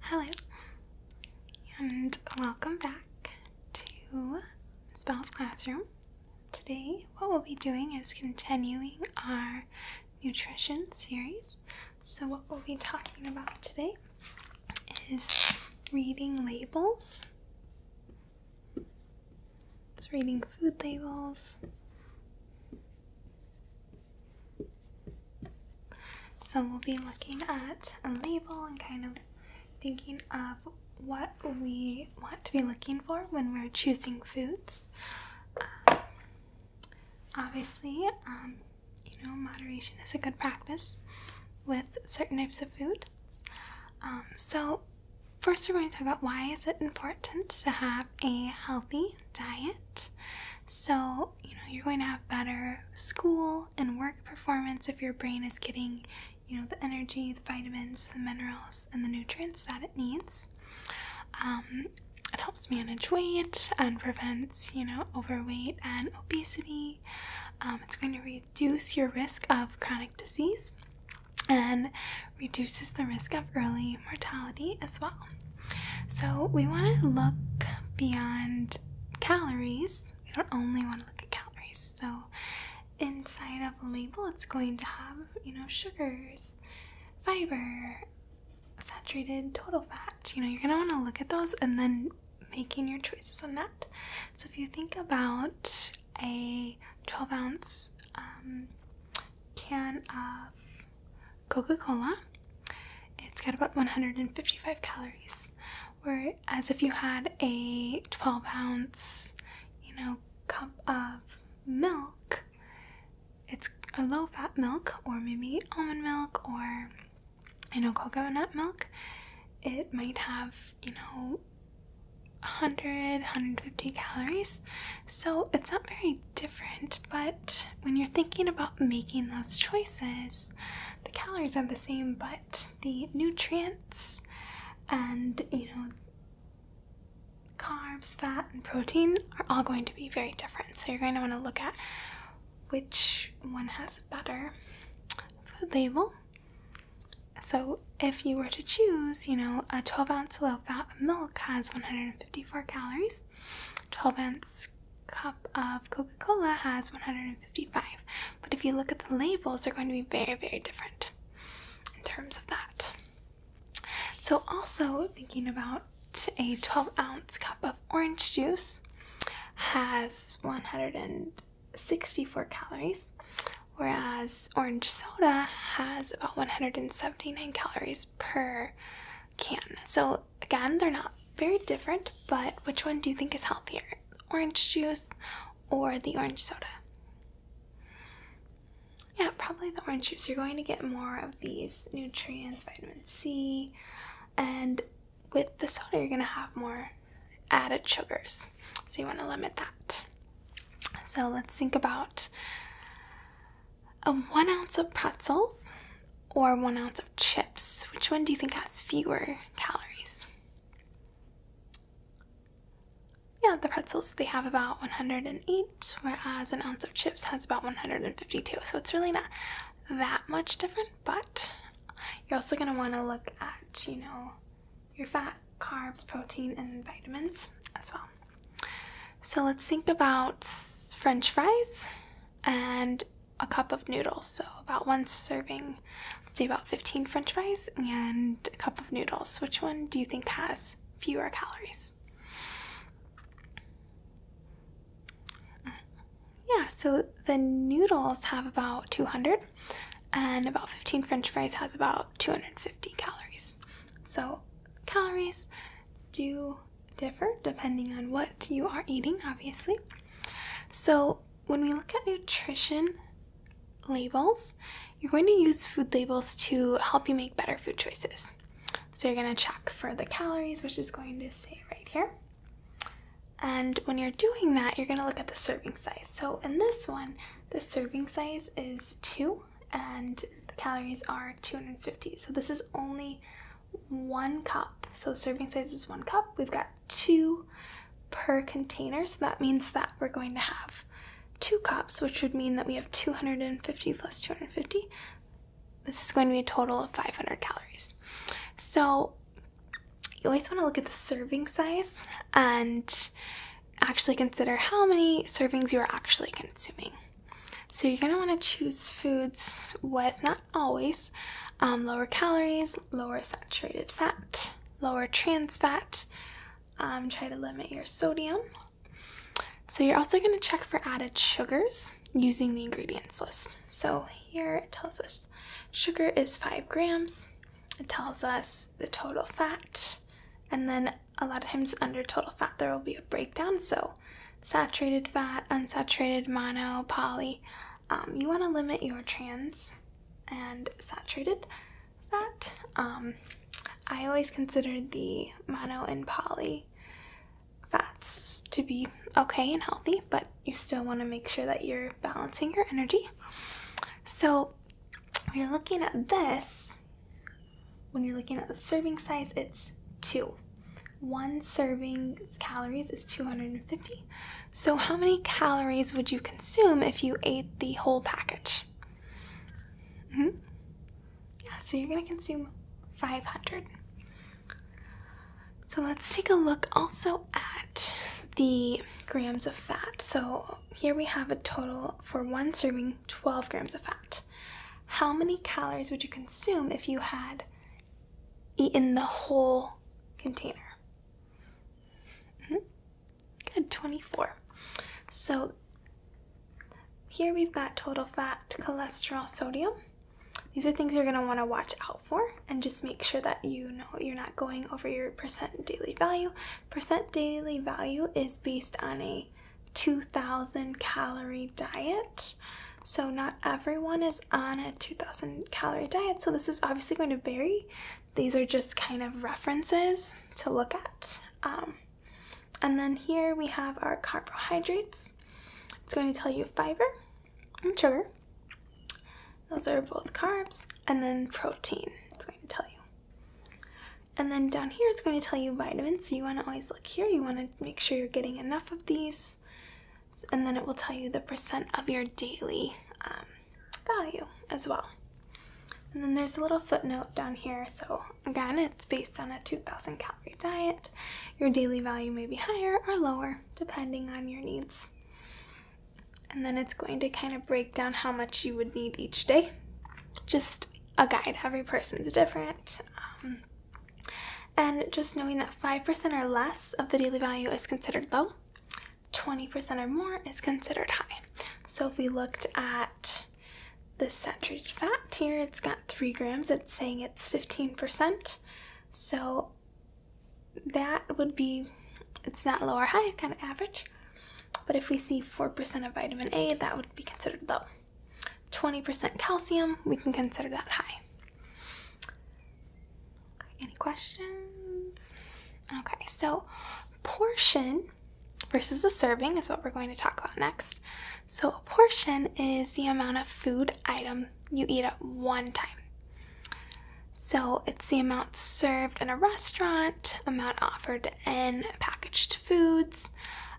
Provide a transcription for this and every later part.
Hello, and welcome back to Miss Bell's classroom. Today, what we'll be doing is continuing our nutrition series. So, what we'll be talking about today is reading labels. It's reading food labels so we'll be looking at a label and kind of thinking of what we want to be looking for when we're choosing foods. Um, obviously, um, you know, moderation is a good practice with certain types of foods. Um, so first we're going to talk about why is it important to have a healthy diet. So you know, you're going to have better school and work performance if your brain is getting, you know, the energy, the vitamins, the minerals, and the nutrients that it needs. Um, it helps manage weight and prevents, you know, overweight and obesity. Um, it's going to reduce your risk of chronic disease and reduces the risk of early mortality as well. So we want to look beyond calories. We don't only want to look at calories. So inside of a label, it's going to have, you know, sugars, fiber, saturated total fat. You know, you're going to want to look at those and then making your choices on that. So if you think about a 12 ounce um, can of Coca Cola. It's got about 155 calories. Whereas if you had a 12 ounce, you know, cup of milk, it's a low fat milk or maybe almond milk or, you know, coconut milk. It might have, you know, 100 150 calories so it's not very different, but when you're thinking about making those choices, the calories are the same, but the nutrients and, you know, carbs, fat, and protein are all going to be very different. So you're going to want to look at which one has a better food label. So if you were to choose, you know, a 12 ounce low fat milk has 154 calories, 12 ounce cup of Coca Cola has 155, but if you look at the labels, they're going to be very, very different in terms of that. So, also thinking about a 12 ounce cup of orange juice has 164 calories, whereas orange soda has about 179 calories per can. So, again, they're not very different, but which one do you think is healthier? Orange juice or the orange soda? Yeah, probably the orange juice. You're going to get more of these nutrients, vitamin C, and with the soda, you're going to have more added sugars. So, you want to limit that. So, let's think about a one ounce of pretzels or one ounce of chips? Which one do you think has fewer calories? Yeah, the pretzels, they have about 108, whereas an ounce of chips has about 152. So it's really not that much different, but you're also going to want to look at, you know, your fat, carbs, protein, and vitamins as well. So let's think about French fries and a cup of noodles. So about one serving, let's say about 15 french fries and a cup of noodles. Which one do you think has fewer calories? Yeah, so the noodles have about 200 and about 15 french fries has about 250 calories. So calories do differ depending on what you are eating, obviously. So, when we look at nutrition labels, you're going to use food labels to help you make better food choices. So, you're going to check for the calories, which is going to say right here. And when you're doing that, you're going to look at the serving size. So, in this one, the serving size is two, and the calories are 250. So, this is only one cup. So serving size is one cup. We've got two per container, so that means that we're going to have two cups, which would mean that we have 250 plus 250. This is going to be a total of 500 calories. So you always want to look at the serving size and actually consider how many servings you are actually consuming. So you're going to want to choose foods with, not always, um, lower calories, lower saturated fat, lower trans fat. Um, try to limit your sodium. So you're also going to check for added sugars using the ingredients list. So here it tells us sugar is 5 grams. It tells us the total fat. And then a lot of times under total fat there will be a breakdown. So saturated fat, unsaturated, mono, poly. Um, you want to limit your trans and saturated fat. Um, I always considered the mono and poly fats to be okay and healthy, but you still want to make sure that you're balancing your energy. So, when you're looking at this, when you're looking at the serving size, it's two one serving's calories is 250. So, how many calories would you consume if you ate the whole package? Mm-hmm. so you're going to consume 500. So, let's take a look also at the grams of fat. So, here we have a total for one serving 12 grams of fat how many calories would you consume if you had eaten the whole container? Hmm? Good, 24. So here we've got total fat, cholesterol, sodium. These are things you're going to want to watch out for and just make sure that you know you're not going over your percent daily value. Percent daily value is based on a 2000 calorie diet. So, not everyone is on a 2000 calorie diet, so this is obviously going to vary. These are just kind of references to look at. Um, and then here we have our carbohydrates. It's going to tell you fiber and sugar. Those are both carbs. And then protein, it's going to tell you. And then down here, it's going to tell you vitamins, so you want to always look here, you want to make sure you're getting enough of these, and then it will tell you the percent of your daily um, value as well. And then there's a little footnote down here. So, again, it's based on a 2000 calorie diet. Your daily value may be higher or lower depending on your needs. And then it's going to kind of break down how much you would need each day. Just a guide. Every person's different. Um, and just knowing that 5% or less of the daily value is considered low, 20% or more is considered high. So if we looked at the saturated fat here, it's got 3 grams, it's saying it's 15%. So that would be, it's not low or high, kind of average. But if we see 4% of vitamin A, that would be considered low. 20% calcium, we can consider that high. any questions? Okay, so portion versus a serving is what we're going to talk about next. So, a portion is the amount of food item you eat at one time. So, it's the amount served in a restaurant, amount offered in packaged foods,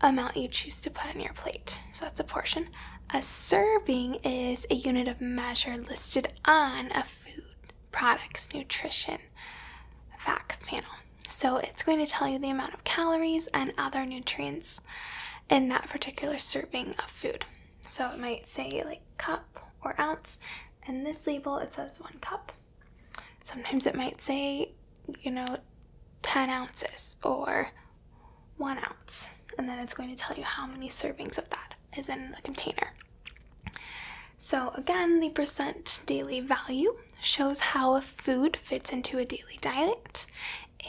amount you choose to put on your plate. So that's a portion. A serving is a unit of measure listed on a food products nutrition facts panel. So it's going to tell you the amount of calories and other nutrients in that particular serving of food. So it might say like cup or ounce. In this label, it says one cup. Sometimes it might say, you know, 10 ounces or one ounce, and then it's going to tell you how many servings of that is in the container. So, again, the percent daily value shows how a food fits into a daily diet.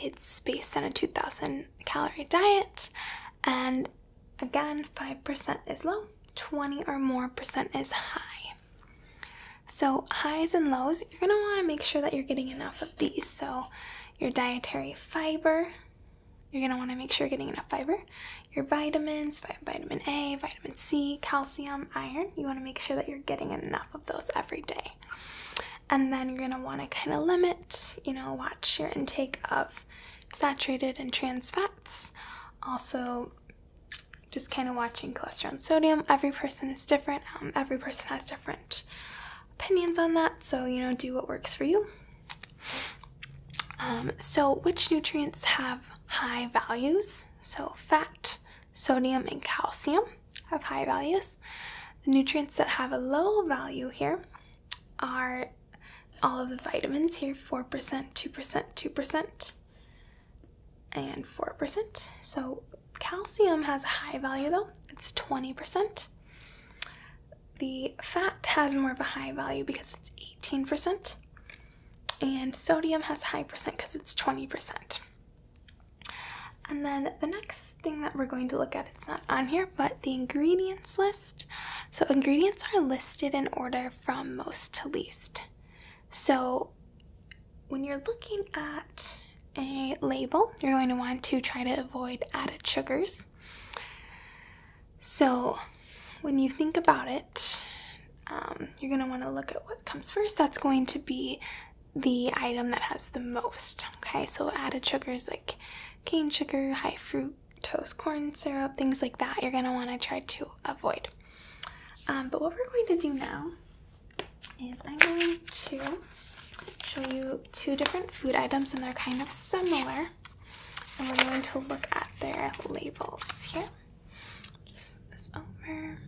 It's based on a 2000 calorie diet, and again, 5% is low, 20 or more percent is high. So, highs and lows, you're going to want to make sure that you're getting enough of these. So, your dietary fiber, you're going to want to make sure you're getting enough fiber. Your vitamins, vitamin A, vitamin C, calcium, iron, you want to make sure that you're getting enough of those every day. And then you're going to want to kind of limit, you know, watch your intake of saturated and trans fats. Also, just kind of watching cholesterol and sodium. Every person is different. Um, every person has different opinions on that, so you know, do what works for you. Um, so, which nutrients have high values? So, fat, sodium, and calcium have high values. The nutrients that have a low value here are all of the vitamins here 4%, 2%, 2%, and 4%. So, Calcium has a high value though, it's 20%. The fat has more of a high value because it's 18%. And sodium has a high percent because it's 20%. And then the next thing that we're going to look at, it's not on here, but the ingredients list. So ingredients are listed in order from most to least. So when you're looking at a label, you're going to want to try to avoid added sugars. So, when you think about it, um, you're going to want to look at what comes first. That's going to be the item that has the most. Okay, so added sugars like cane sugar, high fruit, toast, corn syrup, things like that, you're going to want to try to avoid. Um, but what we're going to do now is I'm going to show you two different food items and they're kind of similar. And we're going to look at their labels here. Just move this over.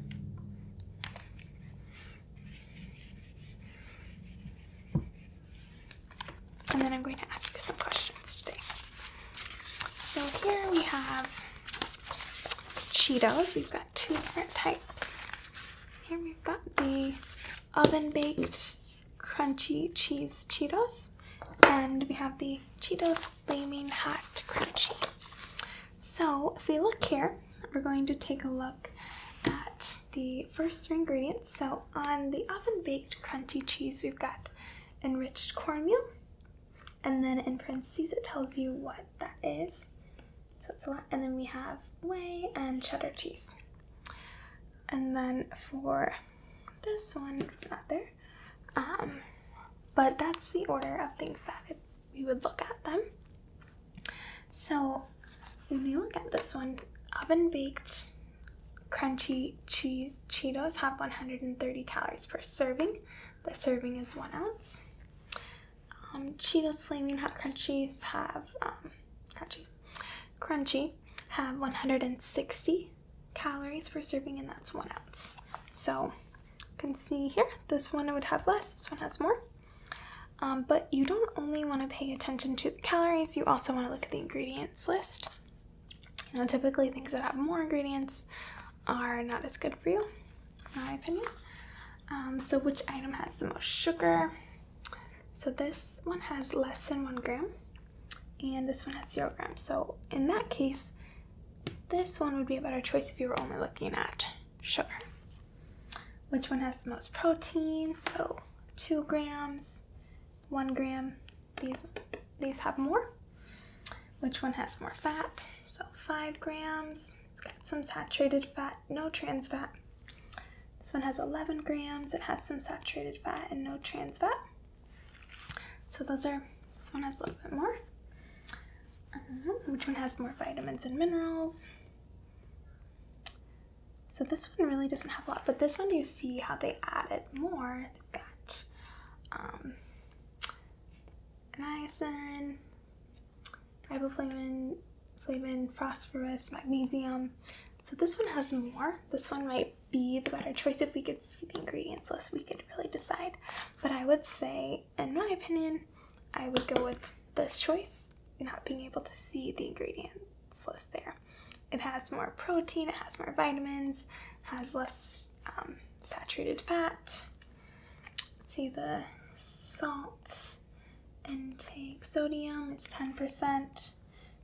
And then I'm going to ask you some questions today. So here we have Cheetos. We've got two different types. Here we've got the oven baked crunchy cheese Cheetos, and we have the Cheetos Flaming Hot Crunchy. So, if we look here, we're going to take a look at the first three ingredients. So, on the oven baked crunchy cheese, we've got enriched cornmeal, and then in parentheses, it tells you what that is. So it's a lot. And then we have whey and cheddar cheese. And then for this one, it's not there. Um, but that's the order of things that we would look at them. So when we look at this one, oven baked crunchy cheese Cheetos have 130 calories per serving. The serving is one ounce um, Cheetos Flaming Hot Crunchies have um, crunchy have 160 calories per serving, and that's one ounce. So you can see here, this one would have less, this one has more. Um, but you don't only want to pay attention to the calories, you also want to look at the ingredients list. You typically things that have more ingredients are not as good for you my opinion. Um, so, which item has the most sugar? So, this one has less than one gram, and this one has zero grams. So, in that case, this one would be a better choice if you were only looking at sugar. Which one has the most protein? So, two grams, one gram. These these have more. Which one has more fat? So, five grams. It's got some saturated fat, no trans fat. This one has 11 grams. It has some saturated fat and no trans fat. So those are, this one has a little bit more. Uh-huh. which one has more vitamins and minerals? So this one really doesn't have a lot, but this one you see how they added more. They've got um, niacin, riboflavin, flavin, phosphorus, magnesium. So this one has more. This one might be the better choice if we could see the ingredients list. We could really decide. But I would say, in my opinion, I would go with this choice, not being able to see the ingredients list there. It has more protein, it has more vitamins, has less um, saturated fat. Let's see the salt and take sodium, is 10%,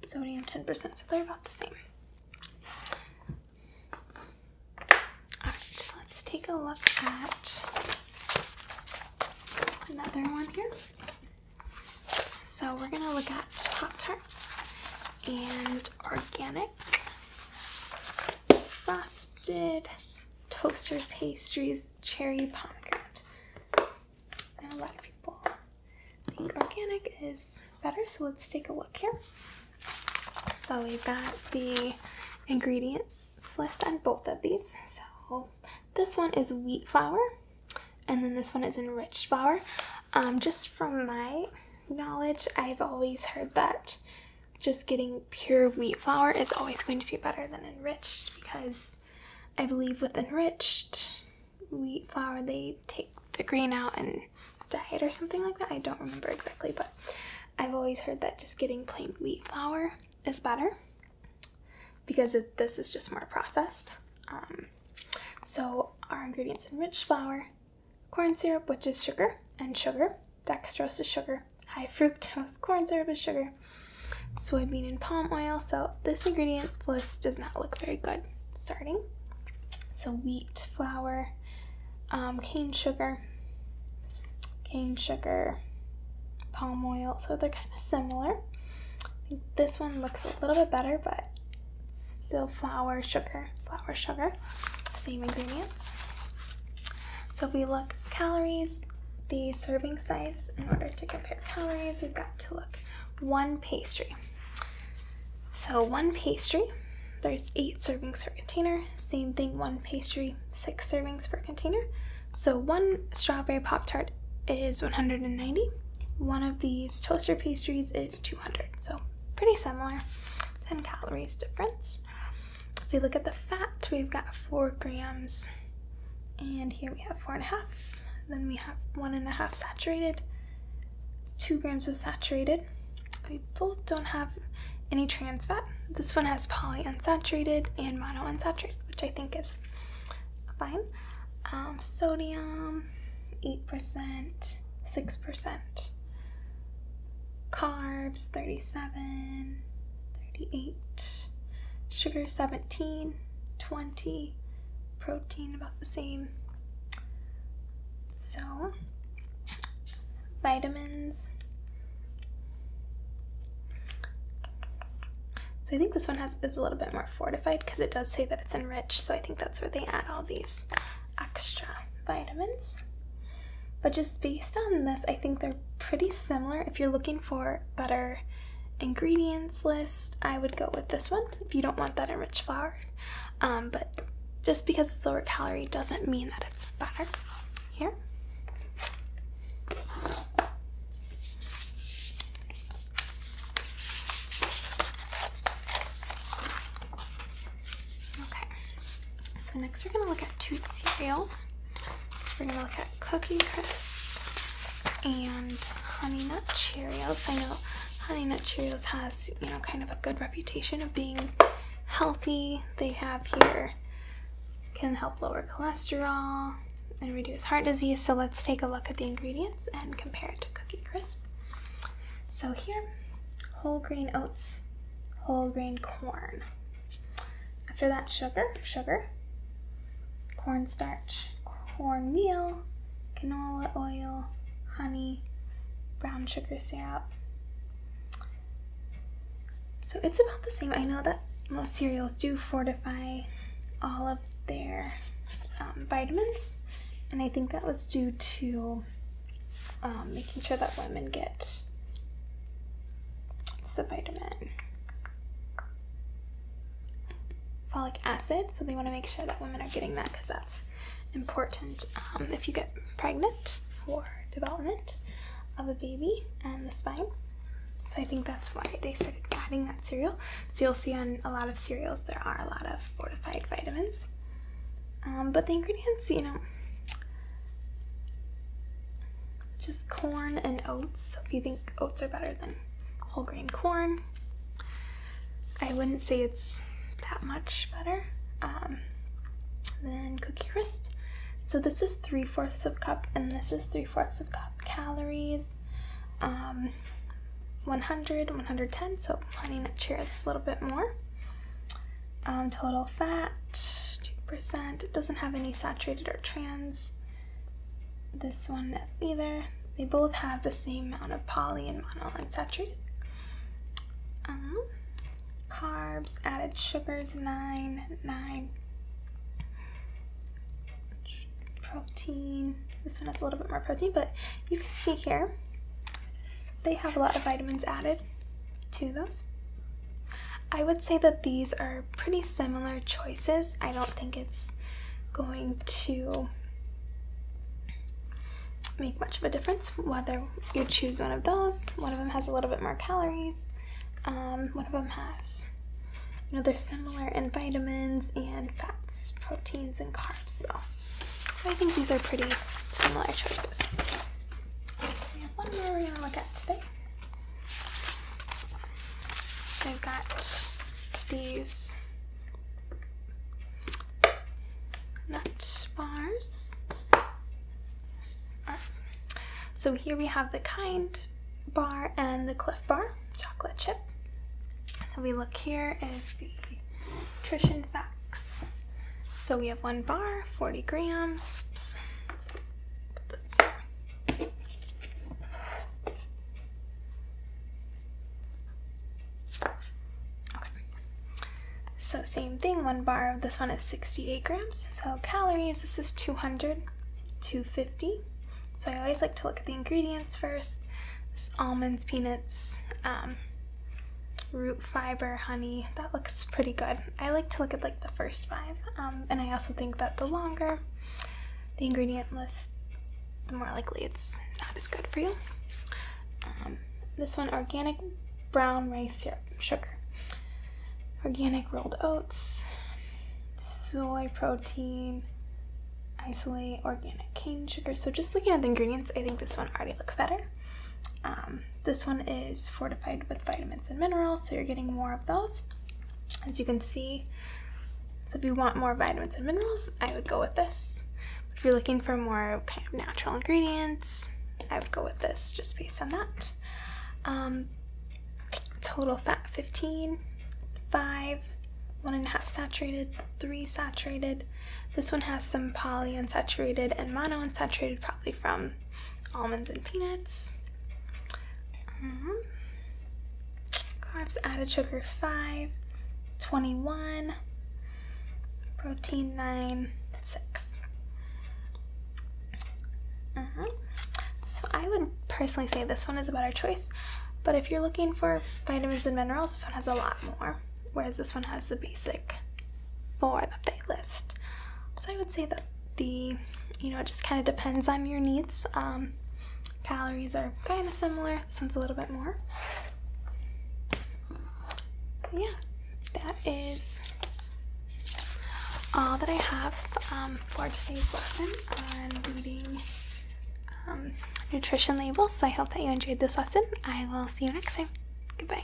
sodium 10%, so they're about the same. Alright, so let's take a look at another one here. So we're going to look at Pop Tarts and organic frosted toaster pastries cherry pomegranate. And a lot of people think organic is better, so let's take a look here. So we've got the ingredients list on both of these. So this one is wheat flour, and then this one is enriched flour. Um, just from my knowledge, I've always heard that just getting pure wheat flour is always going to be better than enriched because I believe with enriched wheat flour they take the grain out and dye it or something like that. I don't remember exactly, but I've always heard that just getting plain wheat flour is better because this is just more processed. Um, so, our ingredients enriched flour, corn syrup, which is sugar, and sugar, dextrose sugar, high fructose corn syrup is sugar, soybean and palm oil. So this ingredient list does not look very good starting. So wheat, flour, um, cane sugar, cane sugar, palm oil. So they're kind of similar. This one looks a little bit better, but still flour, sugar, flour, sugar, same ingredients. So if we look calories, the serving size in order to compare calories. We've got to look one pastry. So one pastry, there's eight servings per container. Same thing, one pastry, six servings per container. So one strawberry pop tart is 190. One of these toaster pastries is 200. So pretty similar, 10 calories difference. If we look at the fat, we've got four grams, and here we have four and a half. Then we have one and a half saturated, two grams of saturated. We both don't have any trans fat. This one has polyunsaturated and mono unsaturated, which I think is fine. Um, sodium, 8%, 6%. Carbs, 37, 38, sugar 17, 20, protein about the same. So, vitamins. So I think this one has is a little bit more fortified because it does say that it's enriched, so I think that's where they add all these extra vitamins. But just based on this, I think they're pretty similar. If you're looking for better ingredients list, I would go with this one if you don't want that enriched flour. Um, but just because it's lower calorie doesn't mean that it's better. Here. Okay. So next we're gonna look at two cereals. we're gonna look at Cookie Crisp and Honey Nut Cheerios. I know Honey Nut Cheerios has, you know, kind of a good reputation of being healthy. They have here can help lower cholesterol and reduce heart disease. So let's take a look at the ingredients and compare it to Cookie Crisp. So here, whole grain oats, whole grain corn. After that, sugar, sugar, cornstarch, cornmeal, canola oil, honey, brown sugar syrup. So it's about the same. I know that most cereals do fortify all of their um, vitamins, and I think that was due to um, making sure that women get it's the vitamin. Folic acid, so they want to make sure that women are getting that because that's important um, if you get pregnant for development of a baby and the spine. So I think that's why they started adding that cereal. So you'll see on a lot of cereals there are a lot of fortified vitamins. Um, but the ingredients, you know, just corn and oats. If you think oats are better than whole grain corn, I wouldn't say it's that much better. Um, than Cookie Crisp. So this is three fourths of cup, and this is three fourths of cup calories. Um, 100, 110, so honey nut cheer is a little bit more. Um, total fat 2%. It doesn't have any saturated or trans. This one is either. They both have the same amount of poly and monounsaturated. Um, carbs, added sugars, 9, 9. Protein. This one has a little bit more protein, but you can see here they have a lot of vitamins added to those. I would say that these are pretty similar choices. I don't think it's going to make much of a difference whether you choose one of those. One of them has a little bit more calories. Um, one of them has, you know, they're similar in vitamins and fats, proteins, and carbs, though. So I think these are pretty similar choices. So we have one more we're going to look at today. So I've got these nut bars. So here we have the kind bar and the cliff bar, chocolate chip. So we look here is the nutrition facts. So we have one bar, 40 grams. So same thing, one bar of this one is 68 grams. So calories, this is 200, 250. So I always like to look at the ingredients first. almonds, peanuts, um, root fiber, honey. That looks pretty good. I like to look at like the first five, um, and I also think that the longer the ingredient list, the more likely it's not as good for you. Um, this one organic brown rice syrup, sugar, organic rolled oats, soy protein, isolate, organic cane sugar. So, just looking at the ingredients, I think this one already looks better. Um, this one is fortified with vitamins and minerals, so you're getting more of those. As you can see, so if you want more vitamins and minerals, I would go with this. if you're looking for more kind of natural ingredients, I would go with this just based on that. Um, total fat 15, 5, one and a half saturated, three saturated. This one has some polyunsaturated and mono unsaturated probably from almonds and peanuts. Uh-huh. carbs added sugar 5, 21, protein 9, 6. Uh-huh. So I would personally say this one is a better choice, but if you're looking for vitamins and minerals, this one has a lot more, whereas this one has the basic four that they list. So I would say that the you know it just kind of depends on your needs um, calories are kind of similar this one's a little bit more yeah that is all that I have um, for today's lesson on reading um, nutrition labels. So I hope that you enjoyed this lesson. I will see you next time. Goodbye.